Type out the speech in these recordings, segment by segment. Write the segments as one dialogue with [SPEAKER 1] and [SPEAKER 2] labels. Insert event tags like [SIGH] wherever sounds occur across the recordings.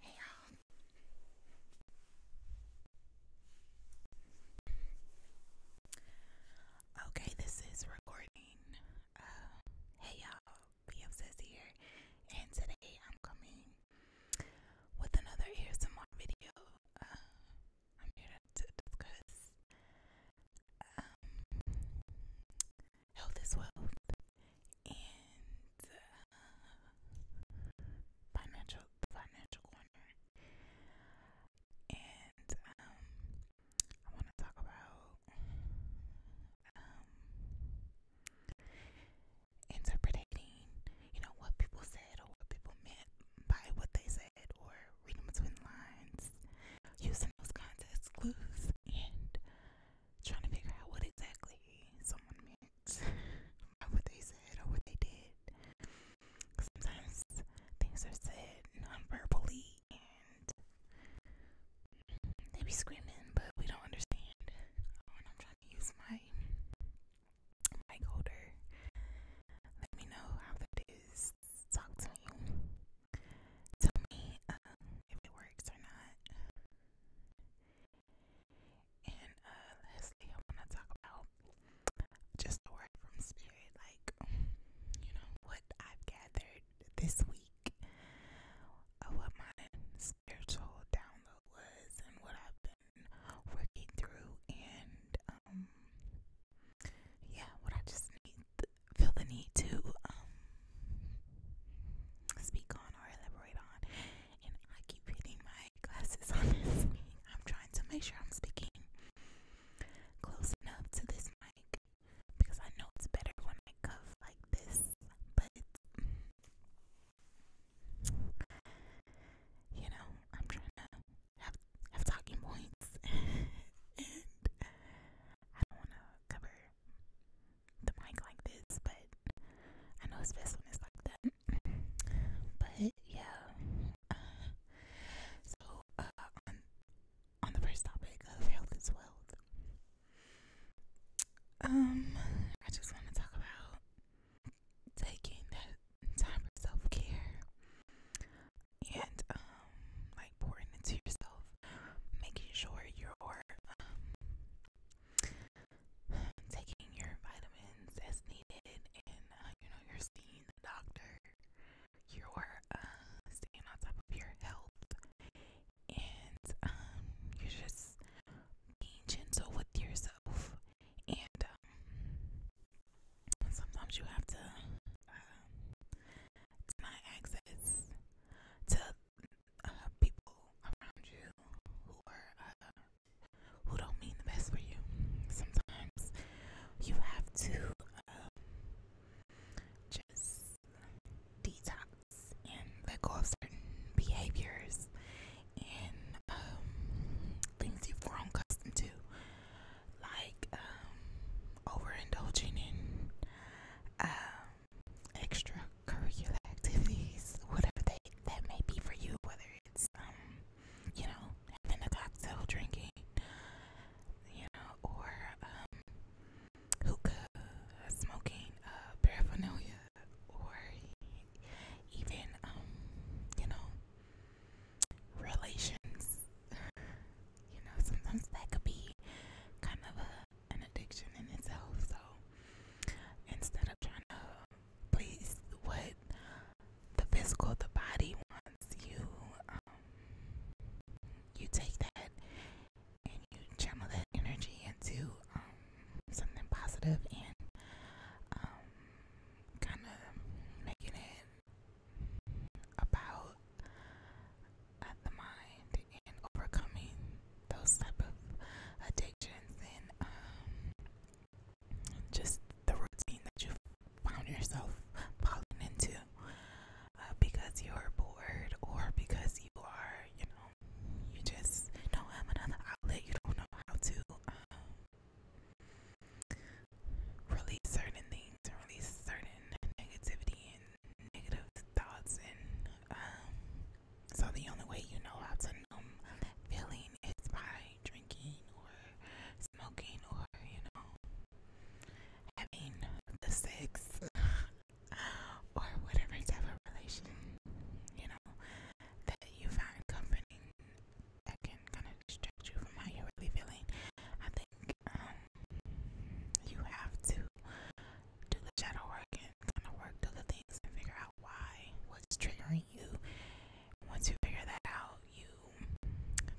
[SPEAKER 1] Hey y'all. Okay, this is recording. Uh, hey y'all, BFSS here, and today I'm coming with another ASMR video. Uh, I'm here to, discuss um, health is wealth, and uh, financial financial corner, and um, I want to talk about um, interpreting, you know, what people said or what people meant by what they said, or reading between lines, using those context clues, and trying to figure out what exactly someone meant by what they said or what they did. Sometimes things are said non and they be screaming, but we don't understand. Oh, I'm trying to use my mic holder. Let me know how that is. Talk to me tell me uh, if it works or not. And uh, lastly, I want to talk about just the word from Spirit, like, you know, what I've gathered this week, uh, what my spiritual download was, and what I've been working through, and, um, yeah, what I just need feel the need to um, speak on or elaborate on. And I keep hitting my glasses on I'm trying to make sure I'm speaking close enough to this mic because I know it's better when I cuff like this. But you know, I'm trying to have talking points, [LAUGHS] and I don't want to cover the mic like this, but I know it's best when it's like that. But yeah. so uh, on the first topic of health is wealth. Um, I just want to talk about taking that time for self care and um like pouring into yourself making sure you're um, taking your vitamins as needed, and uh, you know you're seeing the doctor. You're uh, staying on top of your health, and um, you're just being gentle with yourself. And um, sometimes you have to. Uh, deny access to uh, people around you who are uh, who don't mean the best for you. Sometimes you have to um, just detox and let go of certain behaviors and um, things you've grown accustomed to, like um, overindulging in um, extracurricular activities, whatever they that may be for you, whether it's um, you know, having a cocktail, drinking, you know, or um, hookah, smoking, uh, paraphernalia, or even um, you know, relations you know, sometimes that could be kind of an addiction in itself. So instead of trying to please what the physical, the body wants, you um, you take that and you channel that energy into um, something positive and um, kind of making it about at the mind and overcoming those type of addictions and um, just the routine that you found yourself falling into uh, because you're bored or because you are, you know, you just don't have another outlet. You don't know how to um, release certain things and release certain negativity and negative thoughts, and um, so the only way you know how to numb feeling is by drinking or smoking or you know having the sex [LAUGHS] or whatever type of relation you know that you find company that can kind of distract you from how you're really feeling. I think um, you have to do the shadow work and kind of work through the things and figure out why, what's triggering you. Once you figure that out, you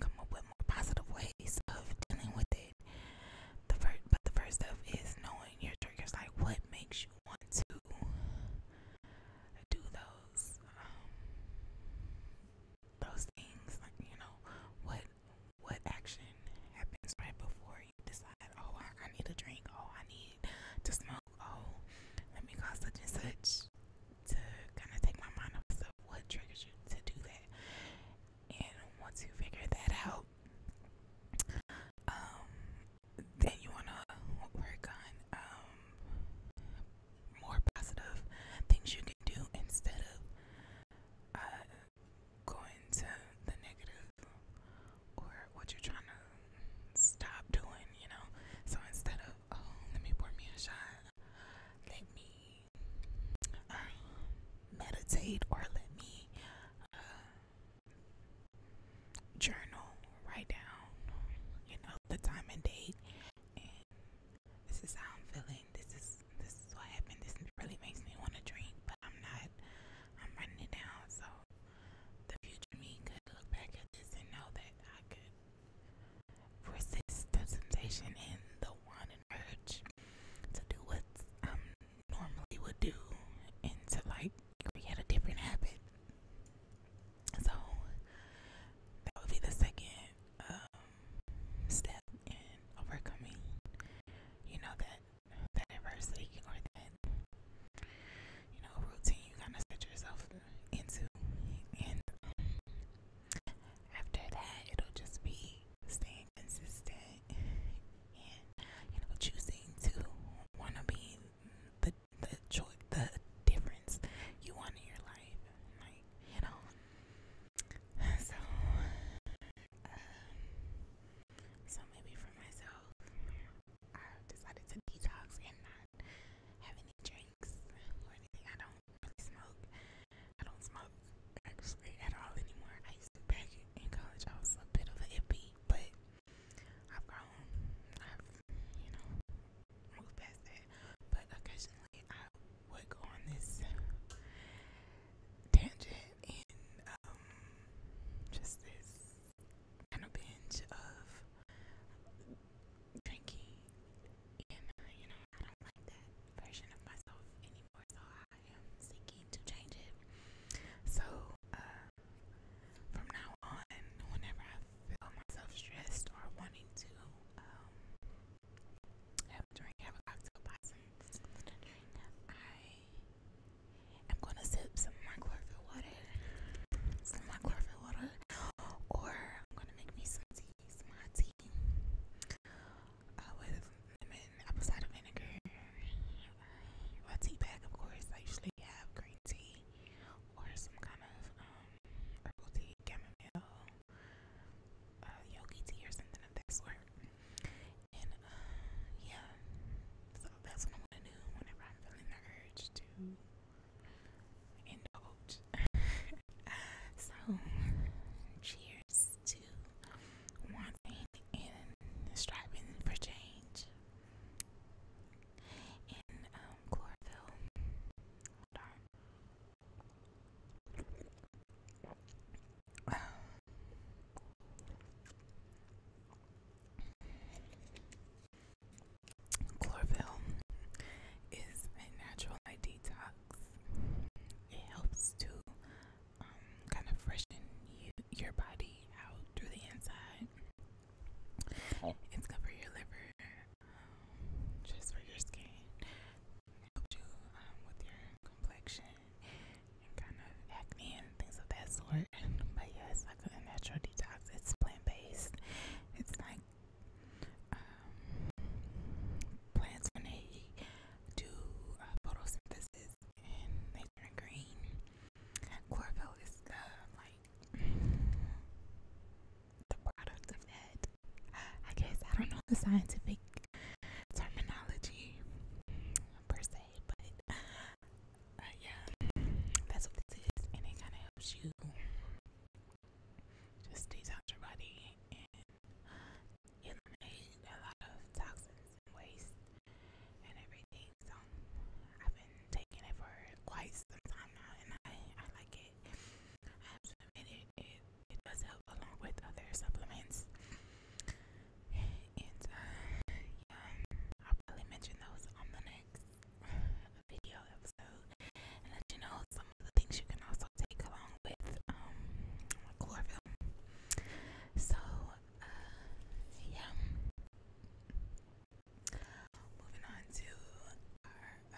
[SPEAKER 1] come up with more positive ways of dealing with it. The first, but the first step is knowing your triggers, like what makes you want to do those. Um, those things like you know what what action happens right before you decide oh I, I need a drink oh I need to smoke oh let me call such and such to kind of take my mind off of what triggers you to do that and once you figure that out um then you want to work on um more positive things you can do instead of uh going to the negative or what you're trying to stop doing, you know. So instead of, oh, let me pour me a shot, let me uh, meditate or let me uh, journal, write down, you know, the time and date this is how I'm feeling. This is this is what happened. This really makes me want to drink, but I'm not. I'm running it down, so the future me could look back at this and know that I could resist the temptation and the want and urge to do what I um, normally would do and to like create a different habit. So that would be the second um, step in overcoming, you know, that that adversity or that you know routine you kind of set yourself into, and um, after that, it'll just be staying consistent and you know choosing to want to be the the choice the difference you want in your life, like you know. So, um, so maybe for myself, I decided to detox and not have any drinks or anything. I don't really smoke. I don't smoke actually at all anymore. I used to back in college. I was a bit of an hippie, but I've grown. I've you know moved past that. But occasionally recently I would go on this tangent and um, just this kind of binge of drinking, and uh, you know I don't like that version of myself anymore, so I am seeking to change it. So uh, from now on, whenever I feel myself stressed or wanting to um, I am gonna sip some of my chlorophyll water, some chlorophyll water, or I'm gonna make me some tea, some tea uh, with apple cider vinegar, uh, tea bag, of course. I usually have green tea or some kind of um, herbal tea, chamomile. Uh, yogi tea or something of that sort. And uh, yeah, so that's what i do whenever I'm feeling the urge to indulge. [LAUGHS] so, cheers to wanting and striving for change. And um, chlorophyll. Chlorophyll is a natural detox. It helps to um, kind of freshen your body out through the inside. It's good for your liver, just for your skin. Help you um, with your complexion and kind of acne and things of that sort. But yeah, like a natural detox. It's plant based. It's like um, plants when do uh, photosynthesis and they turn green. Chlorophyll is the uh, like the product of that. I guess I don't know the scientific terminology per se, but uh, yeah, that's what this is, and it kind of helps you just detox your body and eliminate a lot of toxins and waste and everything. So I've been taking it for quite some time now, and I I like it. I have to admit it. it it does help along with other supplements. And uh, yeah, I'll probably mention those on the next video episode and let you know some of the things you can also take along with um, chlorophyll. So, uh, yeah. Moving on to uh,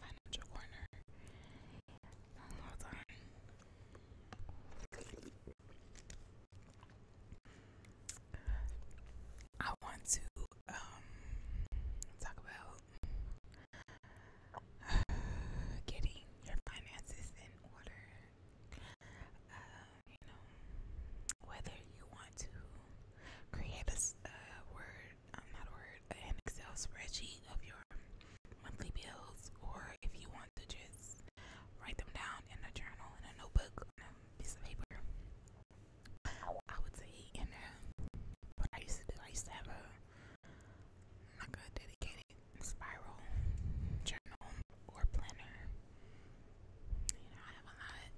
[SPEAKER 1] financial corner. Hold on. I want to um, talk about getting your finances in order. Um, you know, whether you want to create a word um, not word, an Excel spreadsheet of your monthly bills, or if you want to just write them down in a journal, in a notebook, on a piece of paper. I would say in a, what I used to do, I used to have a like a dedicated spiral journal or planner. You know, I have a lot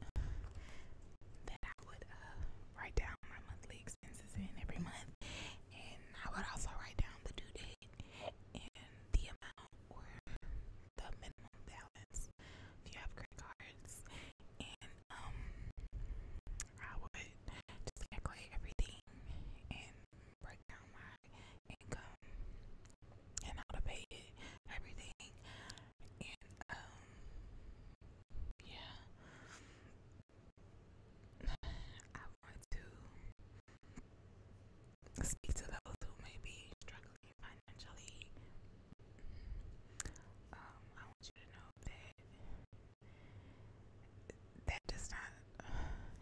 [SPEAKER 1] that I would uh, write down my monthly expenses in every month, and I would also write down the due date and the amount or the minimum balance if you have credit cards, and um, I would just calculate everything and break down my income and how to pay it, everything, and um, yeah, [SIGHS] I want to speak to those who may be struggling financially. Um, I want you to know that that does not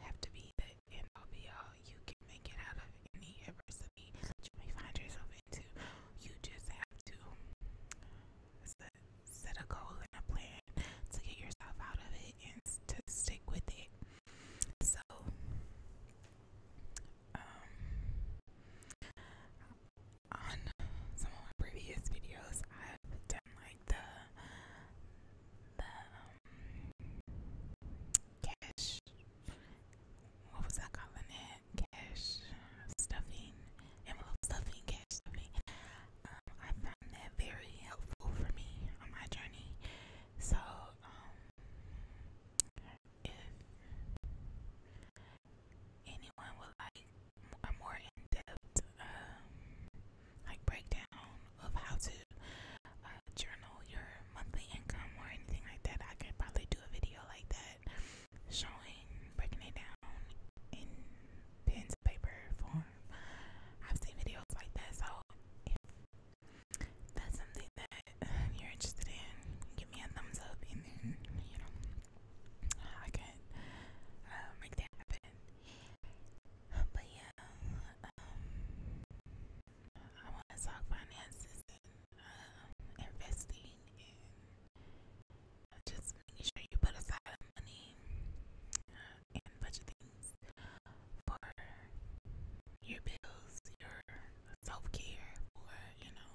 [SPEAKER 1] have to be the end all be all. You can make it out of any adversity that you may find yourself into. You just have to set a goal and a plan to get yourself out of it and to stick with it. So, um, on some of my previous videos, I've done like the the um, cash. What was I calling it? cash stuffing, envelope stuffing, cash stuffing. Um, I found that very helpful for me on my journey. So, um, if anyone would like a more in-depth um, like breakdown of how to uh, journal your monthly income or anything like that, I could probably do a video like that showing breaking it down in pens and paper form. I've seen videos like that, so if that's something that you're interested in, give me a thumbs up, and then you know I can uh, make that happen. But yeah, um, I want to talk finances and uh, investing and just making sure you put aside money and budget things for your bills, your self care, for you know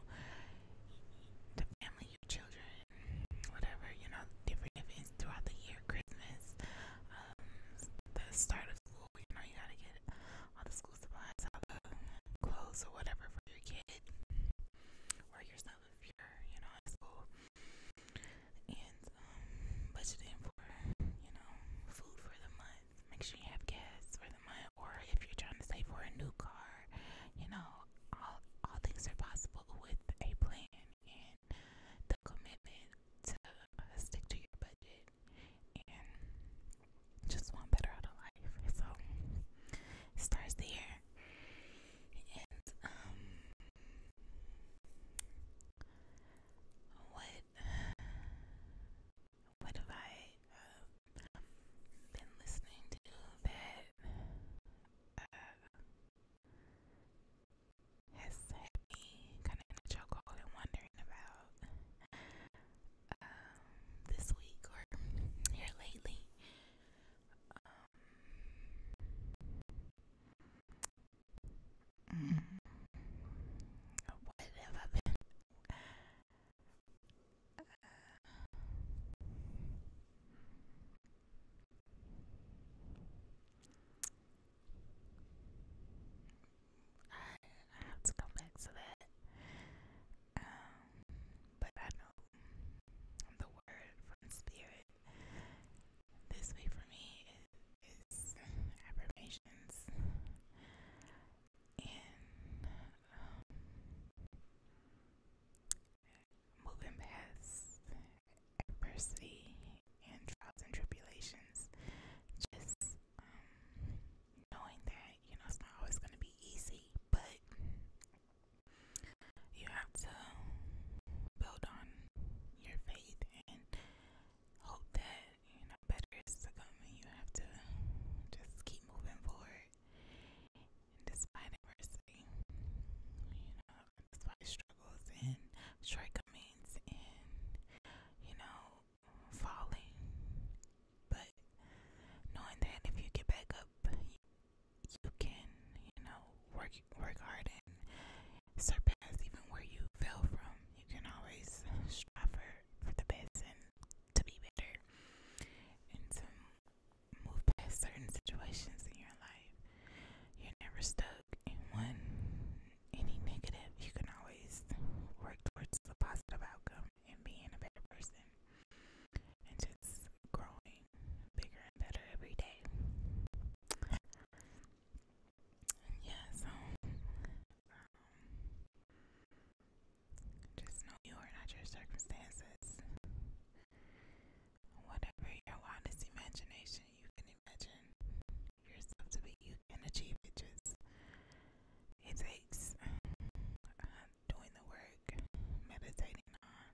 [SPEAKER 1] the family, your children, whatever you know, different events throughout the year, Christmas, um, the start of school. You know, you gotta get all the school supplies, all the clothes or whatever for your kid or your son myself here, you know, at school. And um, budgeting for, you know, food for the month. Make sure you have gas for the month, or if you're trying to save for a new car, you know, all all things are possible with a plan and the commitment to uh, stick to your budget and just want better out of life. So it starts there and um what what have I uh, been listening to that uh, has had me kind of in a chokehold and wondering about um, this week or here lately. Um, I have to come back to that. Um, but I know the word from spirit. This way for me is, affirmations and um, moving past adversity and trials and tribulations. Just um, knowing that you know it's not always going to be easy, but you have to build on your faith and hope that you know better is to come and you have to just keep moving forward and despite adversity you know despite struggles and shortcomings and you know falling but knowing that if you get back up, you can, you know, work work hard and surpass even where you fell from. You can always strive for, for the best and to be better and to move past certain situations in your life. You're never stuck in one any negative. You can always work towards a positive outcome and being a better person and just growing bigger and better every day. Yeah, so um, just know you are not your circumstances. Whatever your wildest imagination you can imagine yourself to be, you can achieve it. Just it takes doing the work, meditating on,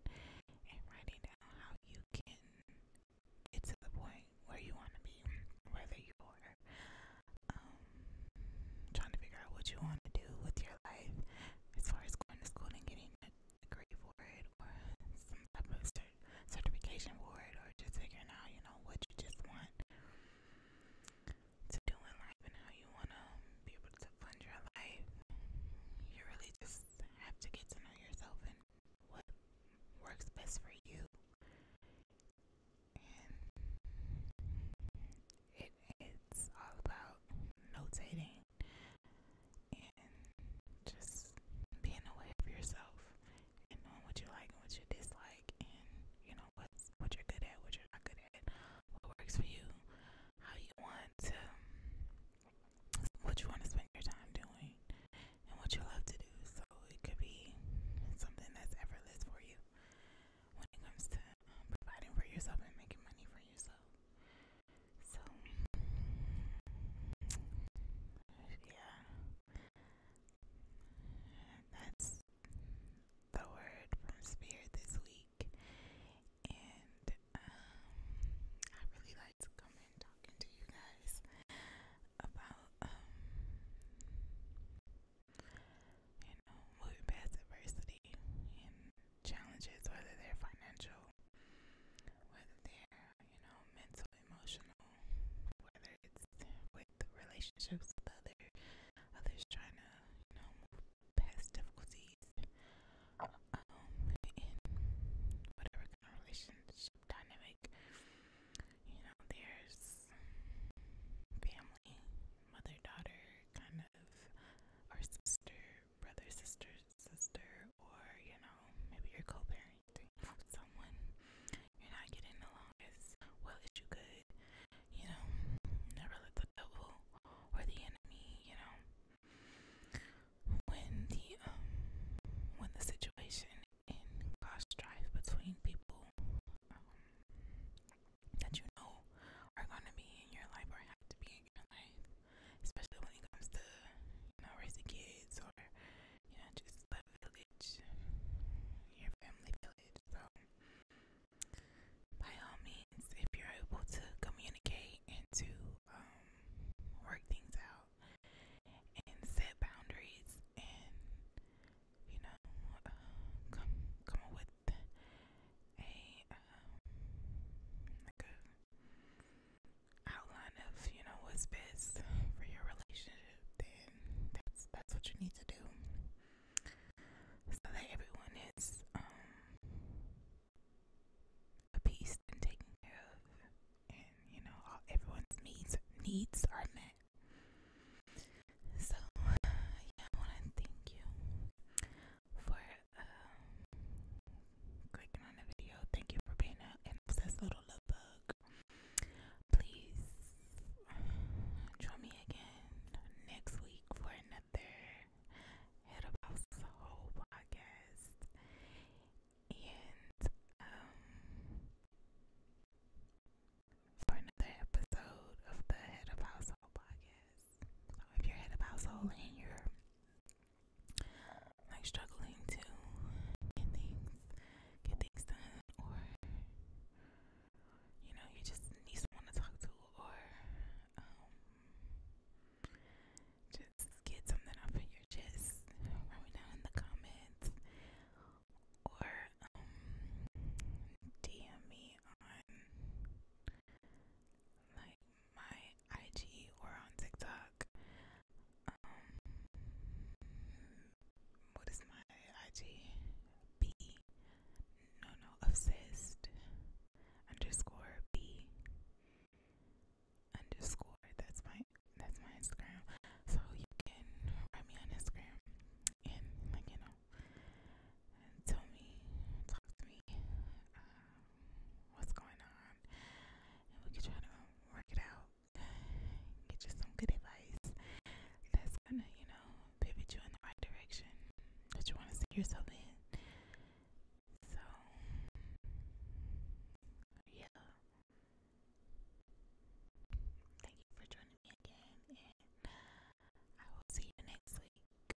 [SPEAKER 1] and writing down how you can get to the point where you want to be, whether you're um, trying to figure out what you want to do with your life as far as going to school and getting a degree for it, or some type of cert- certification for it, or just figuring out, you know, what you just want to do in life and how you want to um, be able to fund your life. You really just have to get to know yourself and what works best for you. And it's all about notating and just being aware of yourself and knowing what you like and what you dislike and, you know, know what's what you're good at, what you're not good at, what works for you, how you want to, what you want to spend your time doing, and what you love to do. So it could be something that's effortless for you when it comes to um, providing for yourself and making money for yourself. So, yeah, that's the word from Spirit this week, and um, I really like to come in talking to you guys about um, you know moving past adversity and challenges, whether they're financial, whether they're you know mental, emotional, whether it's with relationships with other others trying to you know past difficulties um, in whatever kind of relationship dynamic. You know, there's family, mother, daughter, kind of, or sister, brother, sister, sister, or, you know, maybe you're co parenting with someone. You're not getting along as well as you could. You know, never let the devil or the enemy, you know, when the um, when the situation in cause strife between people um, that you know are gonna be in your life or have to be in your life, especially when it comes to you know raising kids or you know just the village, your family village. So by all means, if you're able to communicate and to um, work things out and set boundaries and, you know, uh, come, come up with a, um, like a outline of, you know, what's best for your relationship, then that's, that's what you need to do so that everyone is um, appeased and taken care of, and you know everyone's needs needs are met. So I want to thank you for um, clicking on the video. Thank you for being an obsessed little love bug. Please join me again next week for another Head of Household podcast. And um, for another episode of the Head of Household podcast. So if you're head of household and you're like struggling to get things get things done or you know you just need someone to talk to or um just get something off of your chest write me down in the comments or um DM me on like my IG or on TikTok. Um what is my IG B no no obsessed underscore B underscore that's my that's my Instagram. So you can write me on Instagram and like you know tell me talk to me um, what's going on and we can try to work it out. Get you some good advice that's gonna, you know, pivot you in the right direction that you want to see yourself in. So, yeah. Thank you for joining me again, and I will see you next week.